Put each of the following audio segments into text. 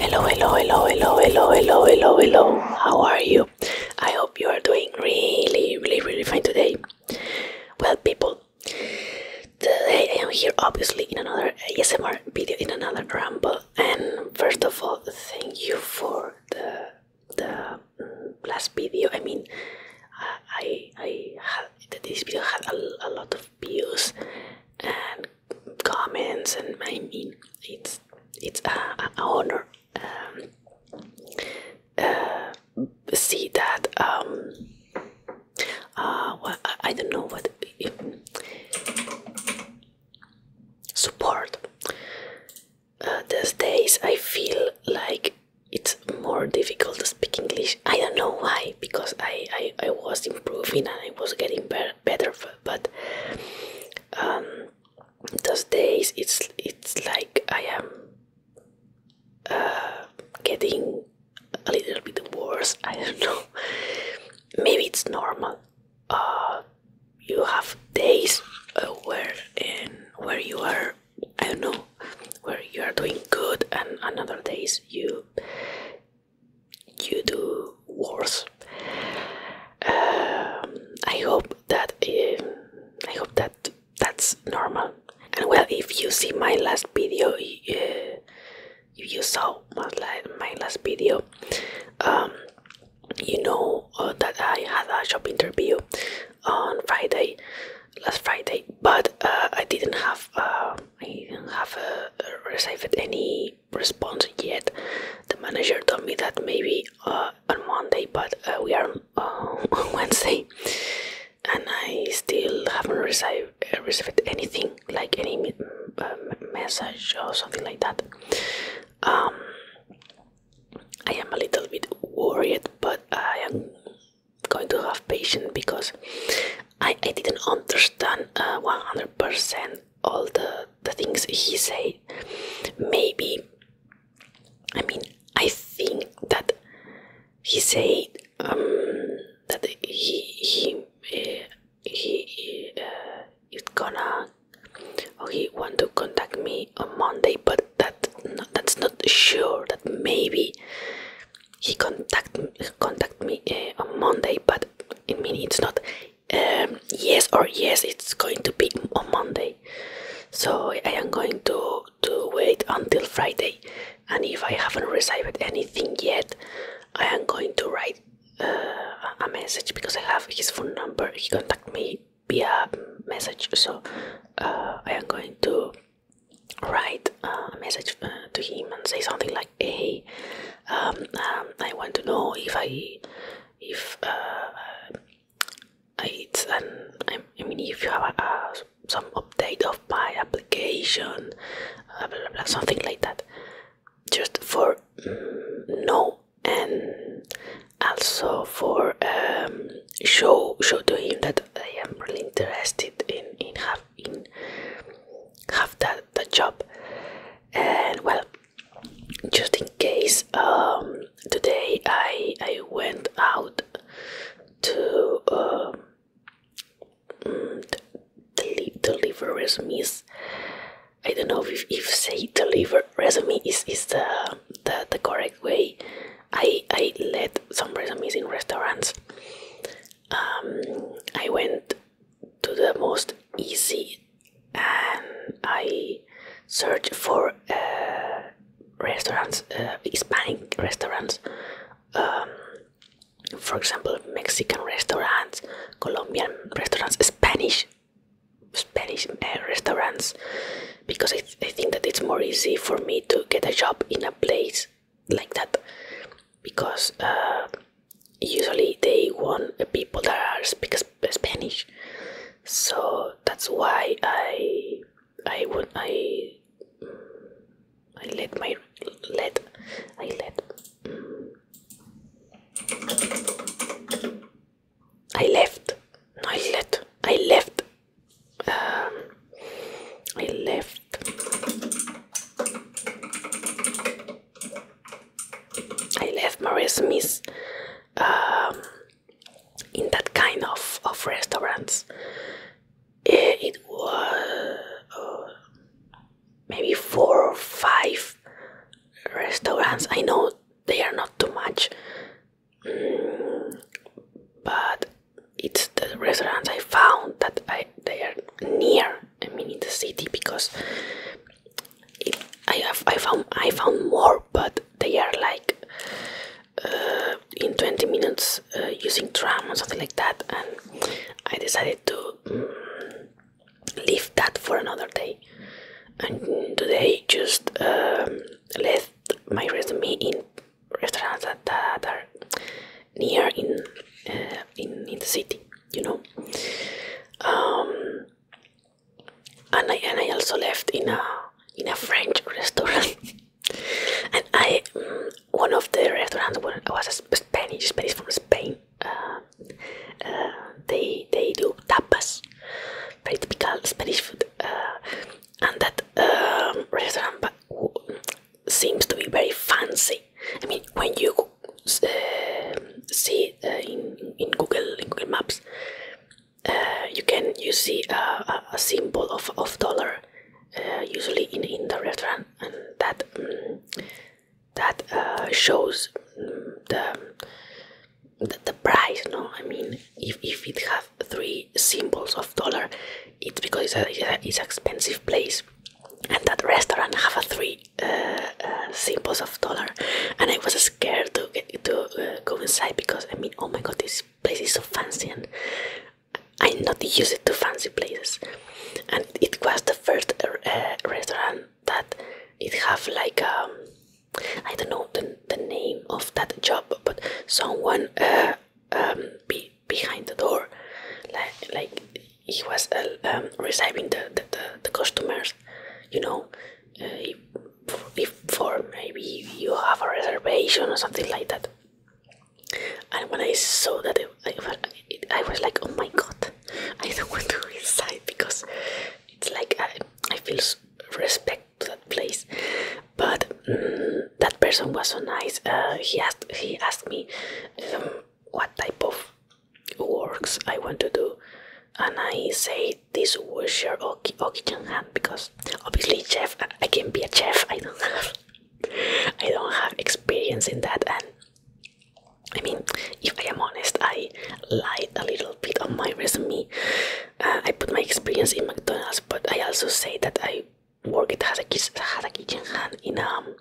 Hello, hello, hello, hello, hello, hello, hello, hello. How are you? I hope you are doing really, really, really fine today. Well, people, today I am here obviously in another ASMR video, in another ramble. And first of all, thank you for the the mm, last video. I mean, I I, I had this video had a, a lot of views and comments and I mean it's it's a honor um, uh, see that um, uh, I, don't know what support uh, these days I feel like it's more difficult to speak English I don't know why because I, I, I was improving and I was getting better, better but um, those days it's it's like I am uh, getting a little bit worse I don't know maybe it's normal uh, you have days uh, where and where you are I don't know where you are doing good and another days you you do worse. Um, I hope that um, I hope that that's normal. And well, if you see my last video, uh, if you saw my last video, um, you know uh, that I had a job interview on Friday, last Friday, but uh, I didn't have I didn't have received any response yet. The manager told me that maybe uh, on Monday, but uh, we are on uh, Wednesday, and I still haven't received received anything like any message or something like that. Um, I am a little bit worried, but I am going to have patience because I, I didn't understand 100% all the the things he said maybe i mean i think that he said um, that he he uh, he uh, is gonna or he want to contact me on monday but that that's not sure that maybe he contact contact me uh, on monday but i mean it's not um, yes or yes it's going to be on Monday so I am going to to wait until Friday and if I haven't received anything yet I am going to write uh, a message because I have his phone number he contacted me via message so uh, I am going to write a message uh, to him and say something like hey um, um, I want to know if I if uh, I it's an I mean if you have a, some update of my application uh, blah, blah, blah, something like that just for know mm, and also for um, show show to him that I am really interested in in have in have that the job and well just in case um, today I, I went out to um, mm, deliver resumes I don't know if, if say deliver resume is, is the, the, correct way I, I let some resumes in restaurants um, I went to the most easy and um, I search for uh, restaurants, uh, Hispanic restaurants, um, for example, Mexican restaurants, Colombian restaurants, Spanish, Spanish uh, restaurants, because I, think that it's more easy for me to get a job in a place like that, because usually they want people that are speak Spanish, so that's why I I would I I let my let I let I left I let I left um, I left I left Maria Smith um, in that kind of, of restaurants. Eh, it was uh, maybe four or five restaurants. I know they are not too much, mm, but it's the restaurants I found that I, they are near I mean in the city because I have I found I found more, but they are like uh, in 20 minutes uh, using tram or something like that, and I decided to mm, leave that for another day. And today just um, left my resume in restaurants that, are near in, uh, in in the city, you know. Um, and I also left in a in a French restaurant, and I mm, one of the restaurants was a Spanish, Spanish from Spain. Uh, uh, they they do tapas, very typical Spanish food, uh, and that um, restaurant seems to be very fancy. I mean, when you Eh, see eh, in, in Google in Google Maps eh, you can you see a, a symbol of, of dollar usually in, in the restaurant and that mm, that shows mm, the, the price no I mean if, if it have three symbols of dollar it's because it's, a, it's an expensive place and that restaurant have a three uh, symbols of dollar, and I was scared to get to uh, go inside because I mean, oh my god, this place is so fancy, and I'm not used to fancy places. And it was the first uh, restaurant that it have like um, I don't know the, the name of that job, but someone um, behind the door, like like he was um, receiving the, the the customers, you know if, uh, before maybe you have a reservation or something like that. And when I saw that, it, it, I was like, oh my god, I don't want to go inside because it's like I, I feel respect to that place. But mm, that person was so nice. Uh, he asked, he asked me um, what type of works I want to do and I say this washer oki kitchen hand because obviously chef I can not be a chef I don't have I don't have experience in that and I mean if I am honest I lied a little bit on my resume uh, I put my experience in McDonald's but I also say that I worked as a, as a kitchen hand in um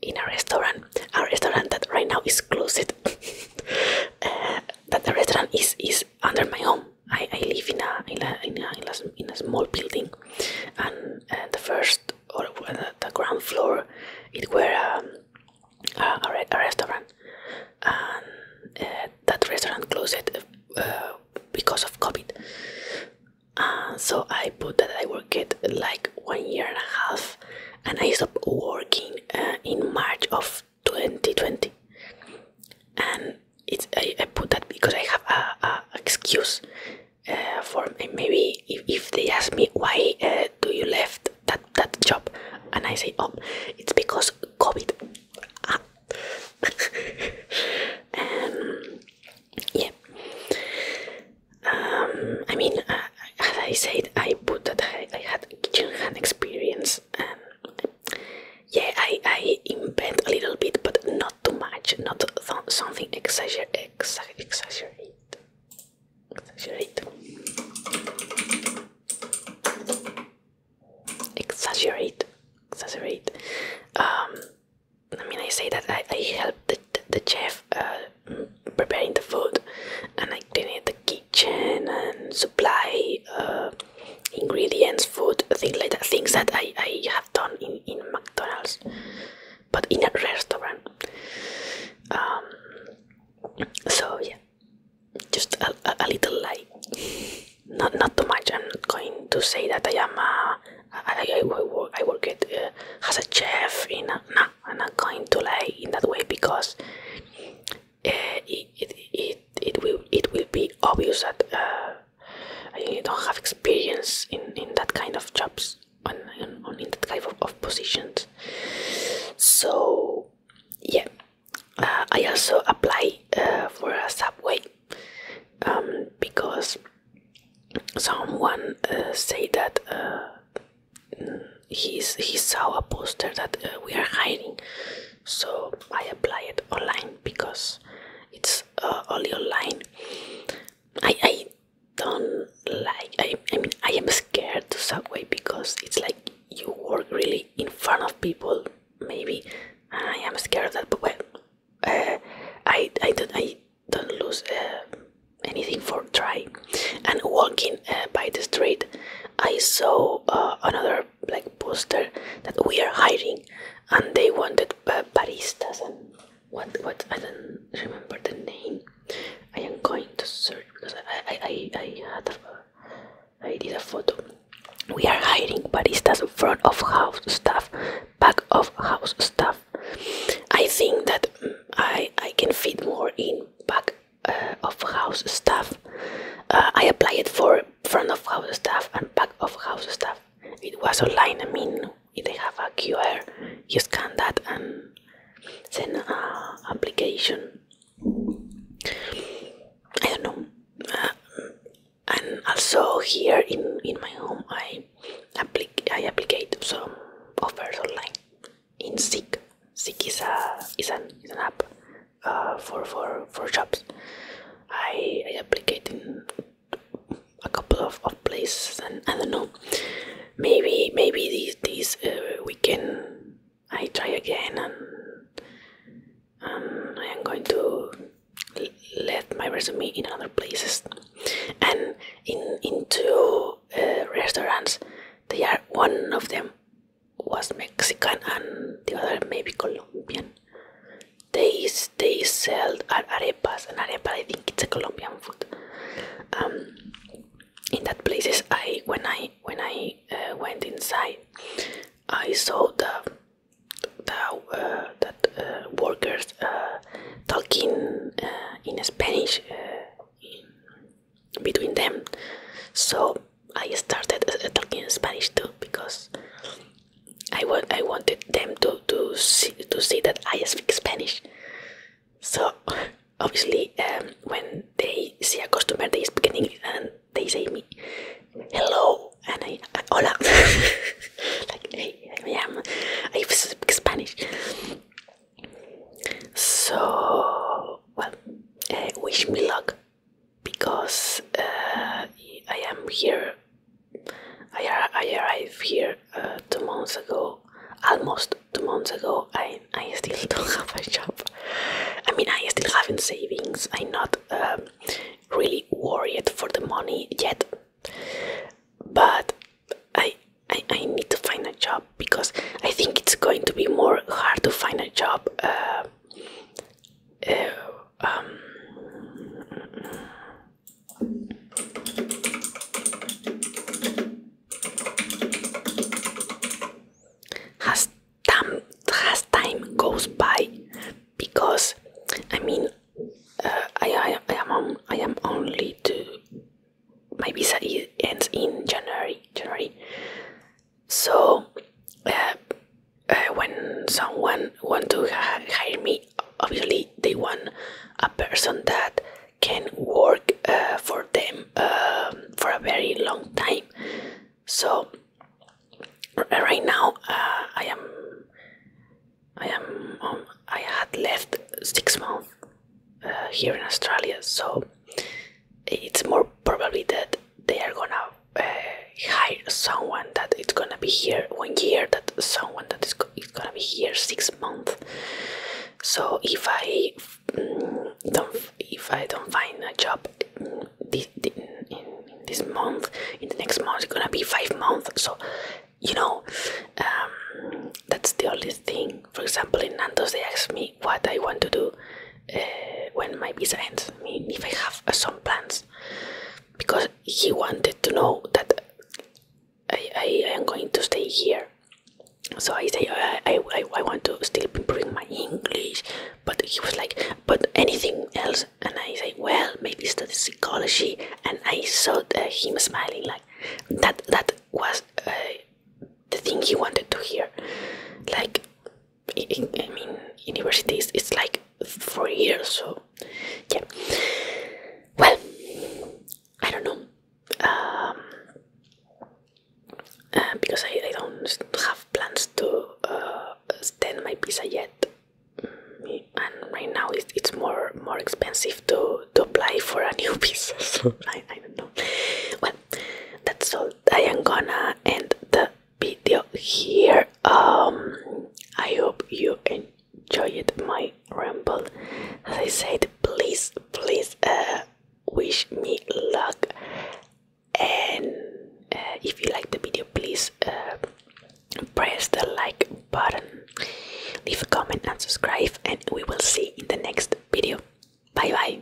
in a restaurant a restaurant that right now is closed that the restaurant is is under my home. I, I live in a in a, in a in a small building, and uh, the first or uh, the, ground floor, it were um, a, a, restaurant, and uh, that restaurant closed because of COVID. so I put that I work it like one year and a half and I stopped working uh, in March of 2020 and it's I, put that because I have a, excuse uh, for maybe if, if they ask me why uh, do you left that that job and I say oh it's because COVID ah. Um, yeah um, I mean as I said, I put that I, I had kitchen hand experience, and um, yeah, I, I invent a little bit, but not too much, not something exagger exa exaggerate, exaggerate, exaggerate, exaggerate. Um, I mean, I say that I, I help the, the chef uh, preparing the food and I clean the kitchen and supply uh, ingredients, food, things like that, things that I, I have done in, in McDonald's, but in a restaurant. Um, so yeah, just a, a, little light, not not too much. I'm not going to say that I am a I, I, I work I work at, uh, as a chef in a, I'm not going to lie in that way because Eh, it, it, it, it, will, it will be obvious that uh, I don't have experience in, in that kind of jobs, and on, in that kind of, of positions. So, yeah, uh, I also apply uh, for a subway um, because someone uh, say that he's, he saw a poster that uh, we are hiding, so I apply it online because it's uh, only online. I, I don't like. I, I mean, I am scared to subway because it's like you work really in front of people. Maybe I am scared that, but well, uh, I I don't I don't lose anything for trying and walking by the street. I saw uh, another like poster that we are hiring, and they wanted uh, baristas and what what I don't remember the name. I am going to search because I I I, I had a, I did a photo. We are hiring baristas, front of house staff, back of house staff. I think that mm, I I can fit more in back of house staff. Uh, I apply it for front of house staff and back of house staff. It was online. I mean, they have a QR. You scan that and send application. I don't know. Uh, and also here in in my home, I applic I applicate some offers online in Seek. Seek is a is an is an app uh, for for for jobs. I I applied in a couple of, of places and I don't know. Maybe maybe this this uh, weekend I try again and um, I am going to let my resume in other places and in in uh, restaurants they are one of them was Mexican and the other maybe Colombian. They they sell arepas and arepa I think it's a Colombian food. Um, in that places I when I when I uh, went inside, I saw the the uh, that uh, workers talking in Spanish between them. So I started uh, talking Spanish too because I want I wanted them to to see to see that I speak Spanish. So obviously um, when they see a customer they speak English and they say me hello and I, I hola like hey I am I speak Spanish. So well, uh, wish me luck because uh, I am here. I, arrived here uh, two months ago, almost two months ago, and I still don't have a job. I mean, I still haven't savings. I'm not um, really worried for the money yet, but I I need to find a job because I think it's going to be more hard to find a job. Uh, uh, um, as time has time goes by because I mean uh, I, I am I am only to my visa ends in January January so, uh, uh, when someone want to hire me, obviously they want a person that can work uh, for them um, for a very long time. So, right now I am, I am, um, I had left six months here in Australia. So, it's more probably that they are gonna uh, hire someone that it's gonna be here one year, that someone that is, is gonna be here six months. So if I mm, don't, if I don't find a job mm, this, in, this month, in the next month it's gonna be five months. So you know, um, that's the only thing. For example, in Nantes they asked me what I want to do. Eh, when my visa ends. I mean, if I have uh, some plans, because he wanted to know that I, I, am going to stay here. So I say uh, I, I, I want to still improve my English, but he was like, but anything else? And I say, well, maybe study psychology. And I saw uh, him smiling like that. That was the thing he wanted to hear. Like I mean, universities. it's like four years, so yeah. Well, I don't know. Um, uh, because I, I don't have plans to uh, extend my visa yet, mm, and right now it's, it's more more expensive to, to apply for a new visa. So I, I don't know. Well, that's all i am gonna end the video here um i hope you enjoyed my ramble as i said please please uh wish me luck and uh, if you like the video please uh, press the like button leave a comment and subscribe and we will see in the next video bye bye